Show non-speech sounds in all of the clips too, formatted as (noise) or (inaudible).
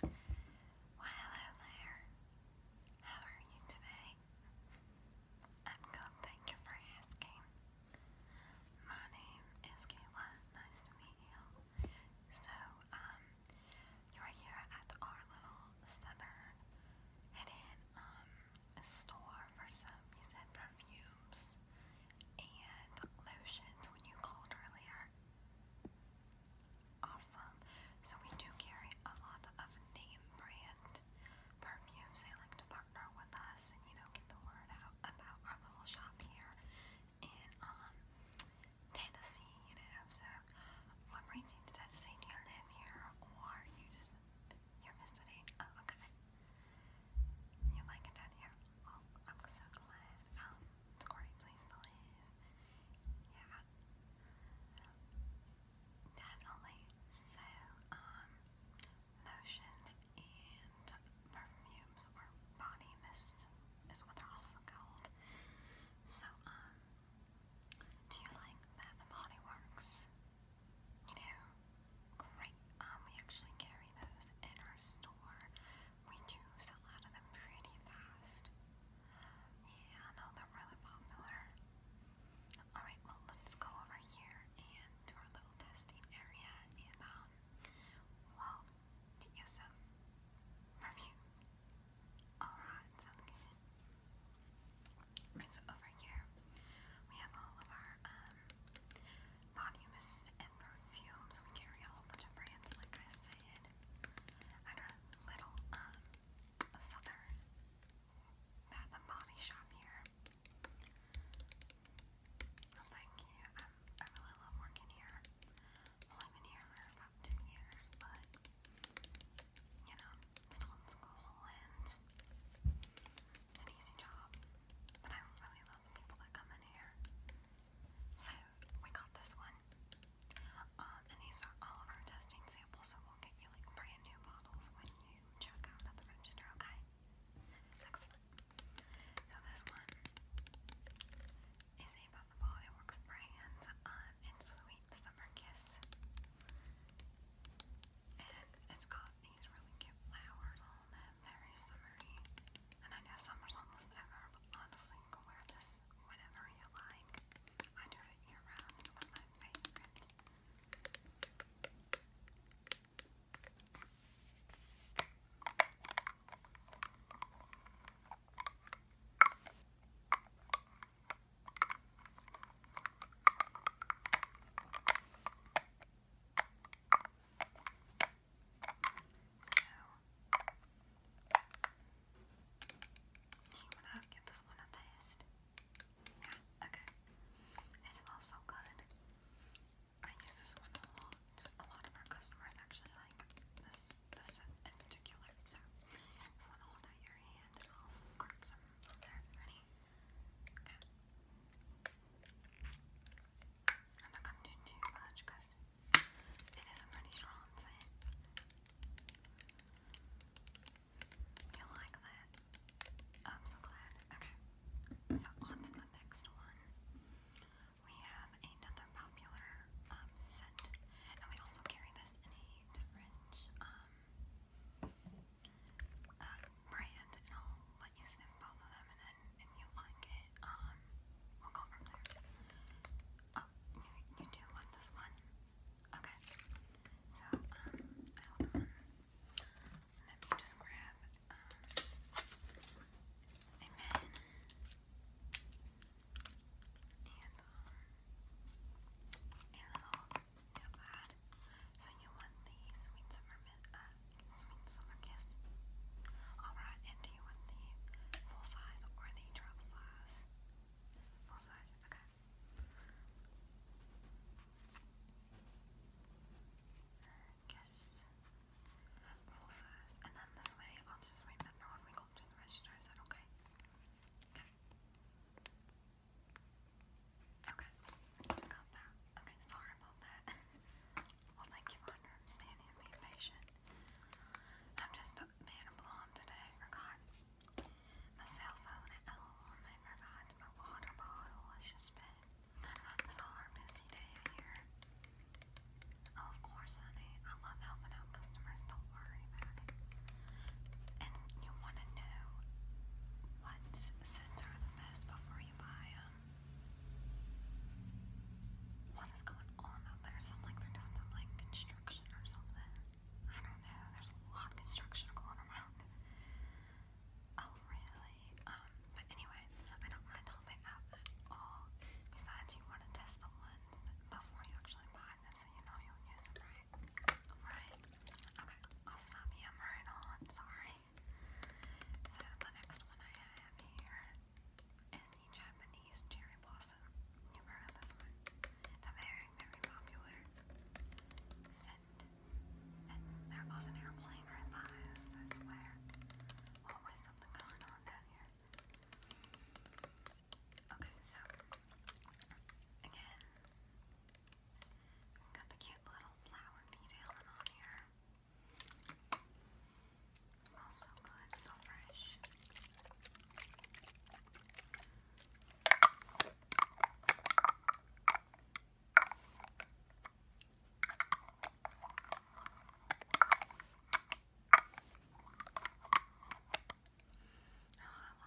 Well, hello there. How are you today? I'm good, thank you for asking. My name is Kayla. Nice to meet you. So, um, you're here at our little southern hidden um store for some you said perfume and lotions when you called earlier. Awesome. So we do carry a lot of name brand perfumes. They like to partner with us and you know get the word out about our little shop here in um, Tennessee, you know. So what brings you Tennessee? Do you live here or you just you're visiting? Oh, okay. You like it down here? Oh, I'm so glad. Um, Corey, please don't leave. Yeah. Definitely. So, um, lotions and perfumes or body mists is what they're also called. So, um, do you like Bath and Body Works? You great. Um, we actually carry those in our store. We do sell out of them pretty fast. Yeah, no, they're really popular. Alright, well, let's go over here and our little testing area and, um, well, get you some review. Alright, sounds good. so over here, we have all of our, um, body and perfumes. We carry a whole bunch of brands, like I said. At our little um southern Bath and Body shop here. Oh, thank you. I really love working here. I've been here for about two years, but you know, still in school and it's an easy job. But I really about the in So we got this one. Um, and these are all of our testing samples, so we'll get you like brand new bottles when you check out at the register, okay? Excellent. So this one is a Bath & brand. Um, it's Sweet Summer Kiss. And it's got these really cute flowers down and And I know summer's almost over, but honestly, you can wear this whenever you like. I do it year round, it's one of my favorites do you wanna give this one a taste? Yeah, okay. It smells so good. I use this one a lot. A lot of our customers actually like this this in, in particular. So this one i hold out your hand I'll squirt some on there. Ready? Okay. I'm not going to do too much because it is a pretty strong scent. You like that? I'm so glad. Okay, so on to the next one. We have another popular um, scent, and we also carry this in a different um, uh, brand and all let you sniff both of them, and then if you like it, um, we'll go from there. Oh, you, do want this one? Okay. So, um, hold on. just grab, um, a pen. And, um, a little notepad. So you want the Sweet Summer uh, it summer kiss. Alright, and do you want the full size or the drop size? Full size, okay. Kiss. Full size. And then this way I'll just remember when we go to the register. Is that okay? Okay. Okay, got that. Okay, sorry about that. (laughs) Well, thank you for understanding and patient. I'm just a man of blonde today. Forgot my cell phone at home. I forgot my water bottle. It's just been this all busy day here. Oh, of course, honey. I love helping out customers. Don't worry about And you want to know what scents are the best before you buy them? what is going on out there? Sound like they're doing some like construction or something. I don't know. There's a lot of construction going around. Oh really? Um, but anyway, I don't mind helping out at all. Besides, you want to test the ones before you actually buy them, so you know you'll use them, right? Right? Okay. I'll stop yammering on. Sorry. So the next one I have here is the Japanese cherry blossom. You've heard of this one. a very, very popular scent. there goes an airplane right by us, I swear. Always something going on down here. Okay, so again, got the cute little flower detailing on here. Smells so good, so fresh. Oh, I love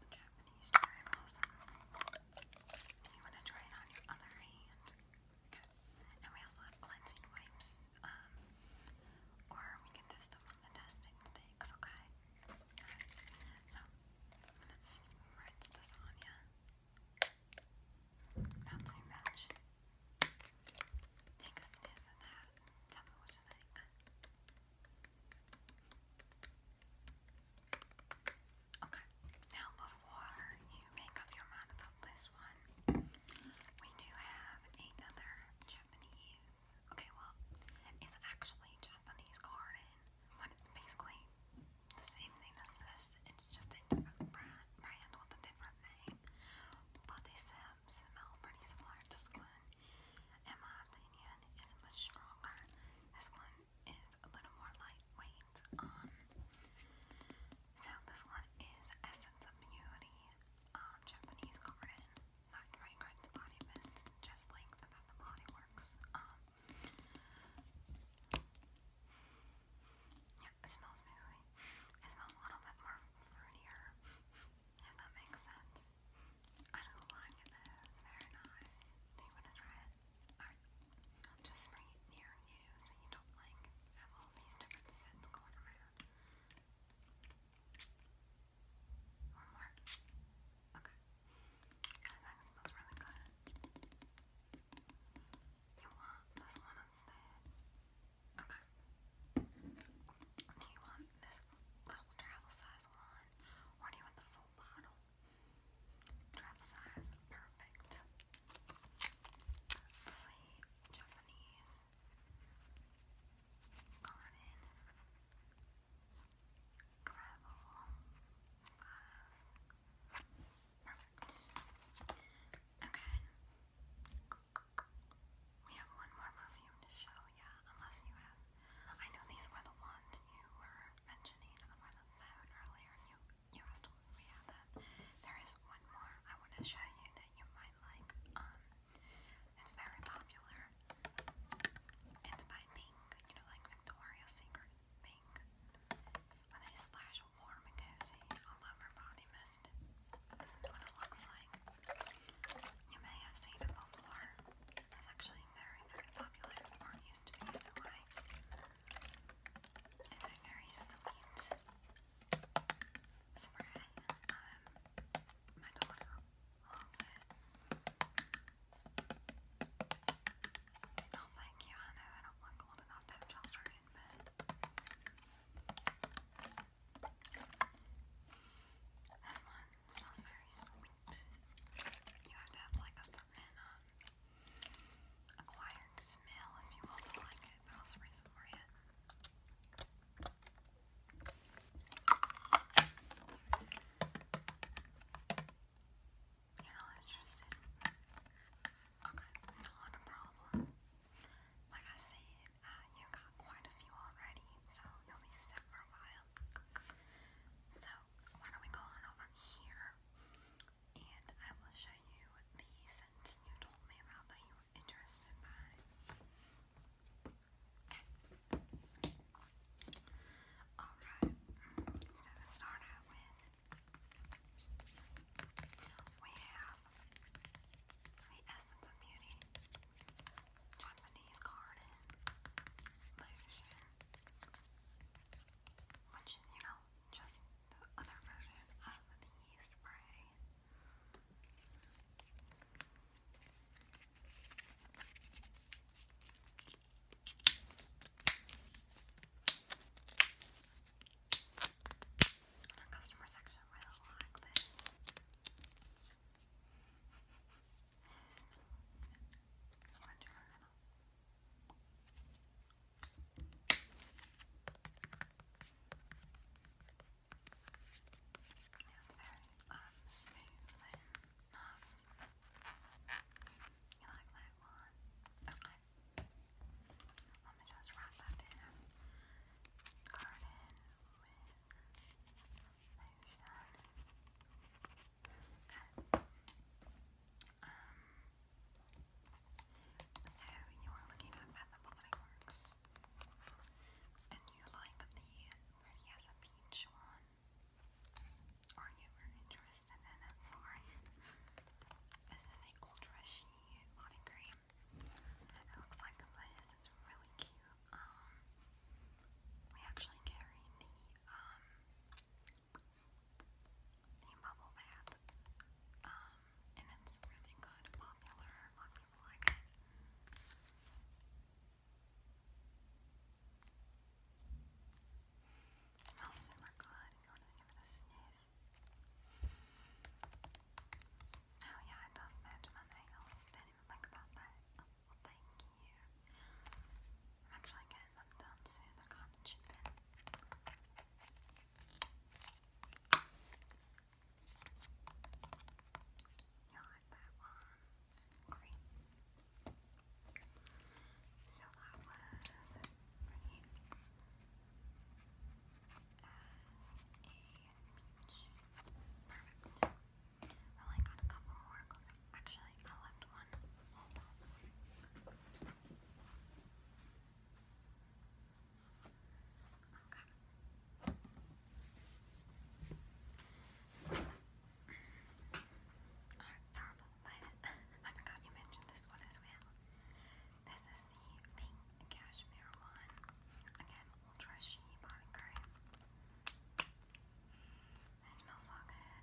the Japanese cherry blossom. You want to try it on your other hand? And we also have cleansing wipes. Um, or we can test them on the testing sticks, okay? so I'm going this on ya. Not too Take a sniff of that tell me what you think. Okay, now before you make up your mind about this one, we do have another Japanese. Okay, well, it's actually Japanese garden, but it's basically the same thing as this. It's just a different brand, brand with a different name. But they smell pretty similar. This one, in my opinion, is much stronger. This one is a little more lightweight. Um, so this one is Essence of Beauty, um, Japanese garden, not fragrance body mist, just like the Bath um, yeah, it smells amazing. It smells a little bit more fruitier, if that makes sense. I don't like it it's very nice. Do you want to try it? Alright, I'll just spray it near for you so you don't like have all these different scents going around. Or more? Okay. I think it smells really good. You want this one instead? Okay. Do you want this little travel size one? Or do you want the full bottle? Travel size, perfect. let Japanese garden, gravel, uh, perfect. Okay, we have one more perfume to show you, unless you have. I know these were the ones you were mentioning over the phone earlier, and you you asked we have them. There is one more I want to show you that you might like. Um, it's very popular. It's by Pink, you know, like Victoria's Secret Pink. When they splash warm and cozy all over body mist, this is what it looks like. You may have seen it before. It's actually very, very popular, or used to be anyway. It's very sweet spring, um, my daughter loves it. Oh, thank you, I know, I don't want gold enough to have children, but... This one smells very sweet. You have to have, like, a certain, um, acquired smell if you want to like it it, You're not interested? Okay, not a problem. Like I said, you got quite a few already, so you'll be set for a while. So, why don't we go on over here, and I will show you the scents you told me about that you interested Okay. Alright, so to start out with, we have the Essence of Beauty, Japanese Garden, Lotion, which is, you know, just the other version of the yeast spray. Our customer section really like this. And very um, smooth and nice. You like that one? Okay. Let me just wrap that down. Garden with motion. Okay. Um, so you are looking at Bath and and you like the pretty as a peach one. Are you interested in it? Sorry. This is the Ultra Shea Body Cream. It looks like this. It's really cute. Um, we actually carry the um the bubble bath um and it's really good, popular, a lot of people like it. It smells super good if you want to give a sniff. Oh yeah, I love match my Didn't even think about that. Oh, thank you. I'm actually getting them done soon. They're you like that one? Great. So that was pretty as a perfect. I only got a couple more to go. Actually, I left one. Hold on. Horrible, I forgot you mentioned this one as well. This is the pink cashmere one. Again, ultra sheen body cream. It smells so good.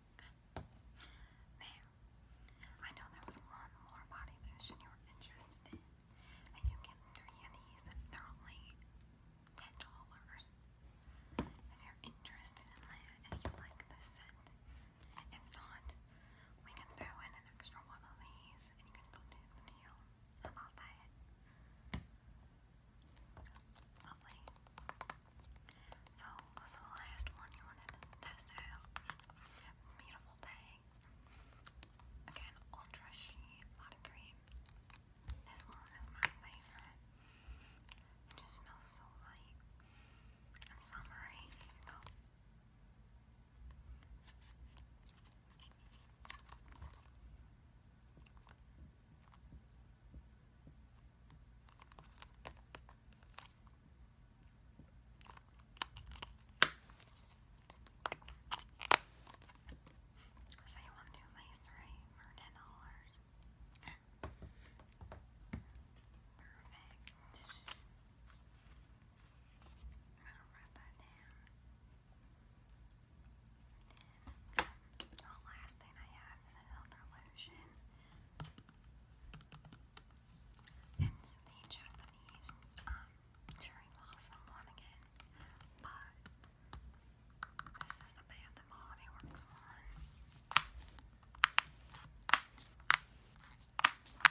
Good. Now, I know there was one more body lotion you were interested in, and you get three of these. They're only ten dollars. If you're interested in that, and you like the scent, if not, we can throw in an extra one of these, and you can still do the deal. How about that? So, what's the last one you wanted to test out? Beautiful Day. Again, Ultra Sheet Body Cream. This one is my favorite. It just smells so light and summery. So you want new lace, right? For ten dollars. Perfect. I'm gonna write that down. the last thing I have is another lotion. It's a Japanese um, cherry blossom one again, but this is the Bath and Body one. It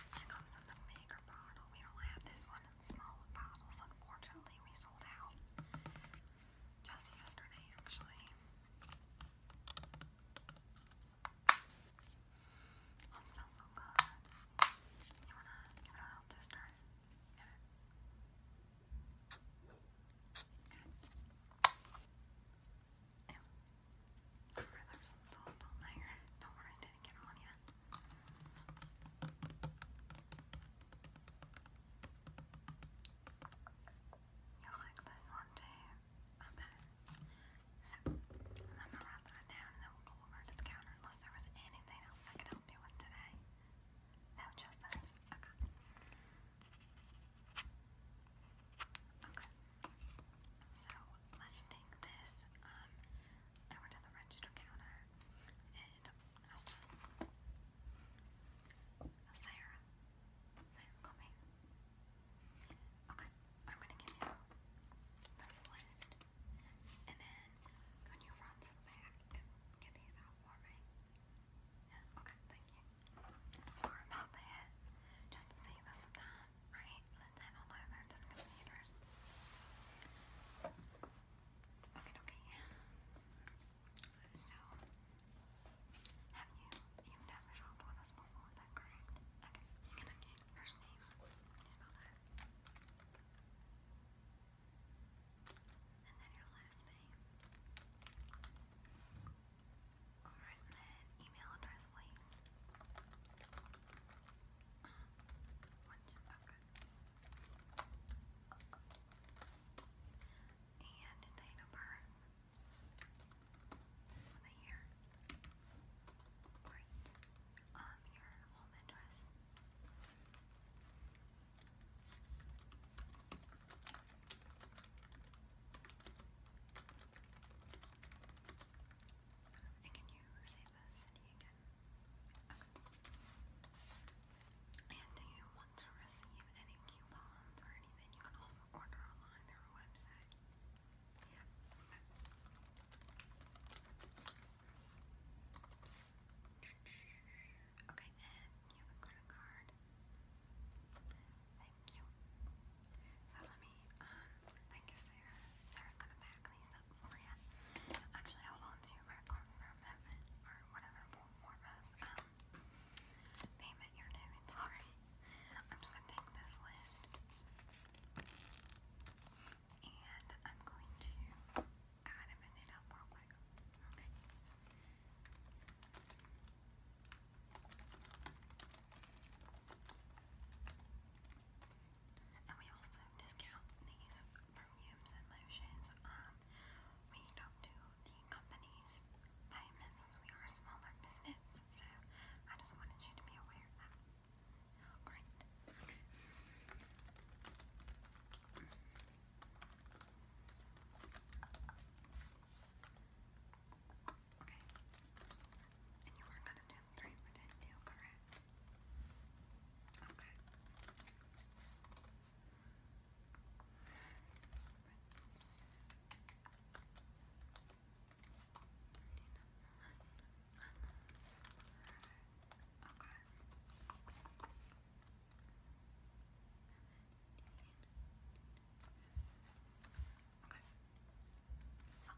comes in the bigger bottle. We only have this one in smaller bottles. Unfortunately, we sold out just yesterday, actually. That smells so good. You wanna give it a little tester? on there. Don't worry, I didn't get on yet you like this one too. Okay. So, I'm gonna write that down and then we'll go over to the counter unless there was anything else I could help you with today. No, just those. Okay. Okay. So, let's take this um, over to the register counter and Sarah. Sarah, call Okay, I'm gonna give you this list. And then can you run to the back get these out for me? okay, thank you. Sorry about that. Just to save us some time, right? Let's head on over to the computers. Okay, okay. So have you? You've with us before, that correct? Okay, you're gonna need first name. spell that? And then your last name. Alright, email address, please. okay. And date of birth over here. Great. Um, your home address. And can you say the city again? And do you want to receive any coupons or anything? You can also order online through our website. Okay, and you credit card. Thank you. So let me, um, thank you, Sarah. Sarah's gonna pack these up for you. Actually, hold on to your credit card for a or whatever form of um, payment you're doing. Sorry. I'm just gonna take this list and I'm going to add and bend up real quick. Okay. And we also discount these perfumes and lotions. Um, we don't do the company's payments since we are a smaller business, so I just wanted you to be aware of that. Alright. Okay. And you are gonna do three for that deal, correct? Okay. Okay. So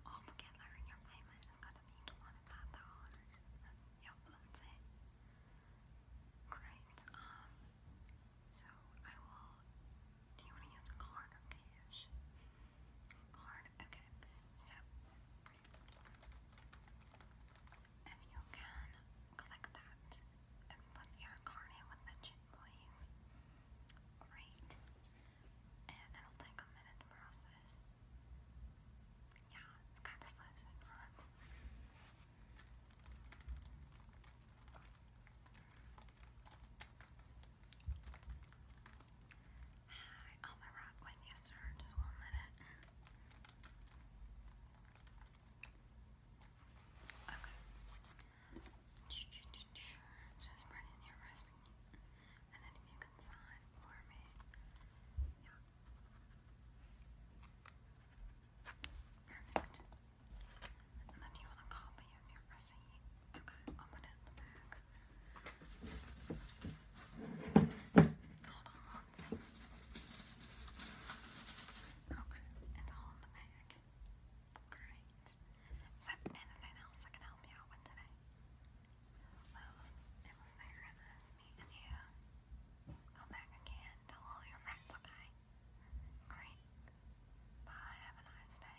altogether in your payment I'm gonna be twenty five dollars. Yep, that's it. Great. Um so I will do you want to use a card or cash? Card, okay. So, if you can click that and put your card in with the chip, please. Great. And it'll take a minute to process. Yeah, it's kind of slow sometimes. Hi, I'll you, sir. Just one minute. Okay. Just bring in your wrist. And then if you can sign for me. Perfect. And then you want a copy of your receipt. Okay, I'll Hold it's all in the bag. Great. Is there anything else I can help you with today? it was there meeting you. Go back again. Tell all your friends, okay? Great. Bye. Have a nice day.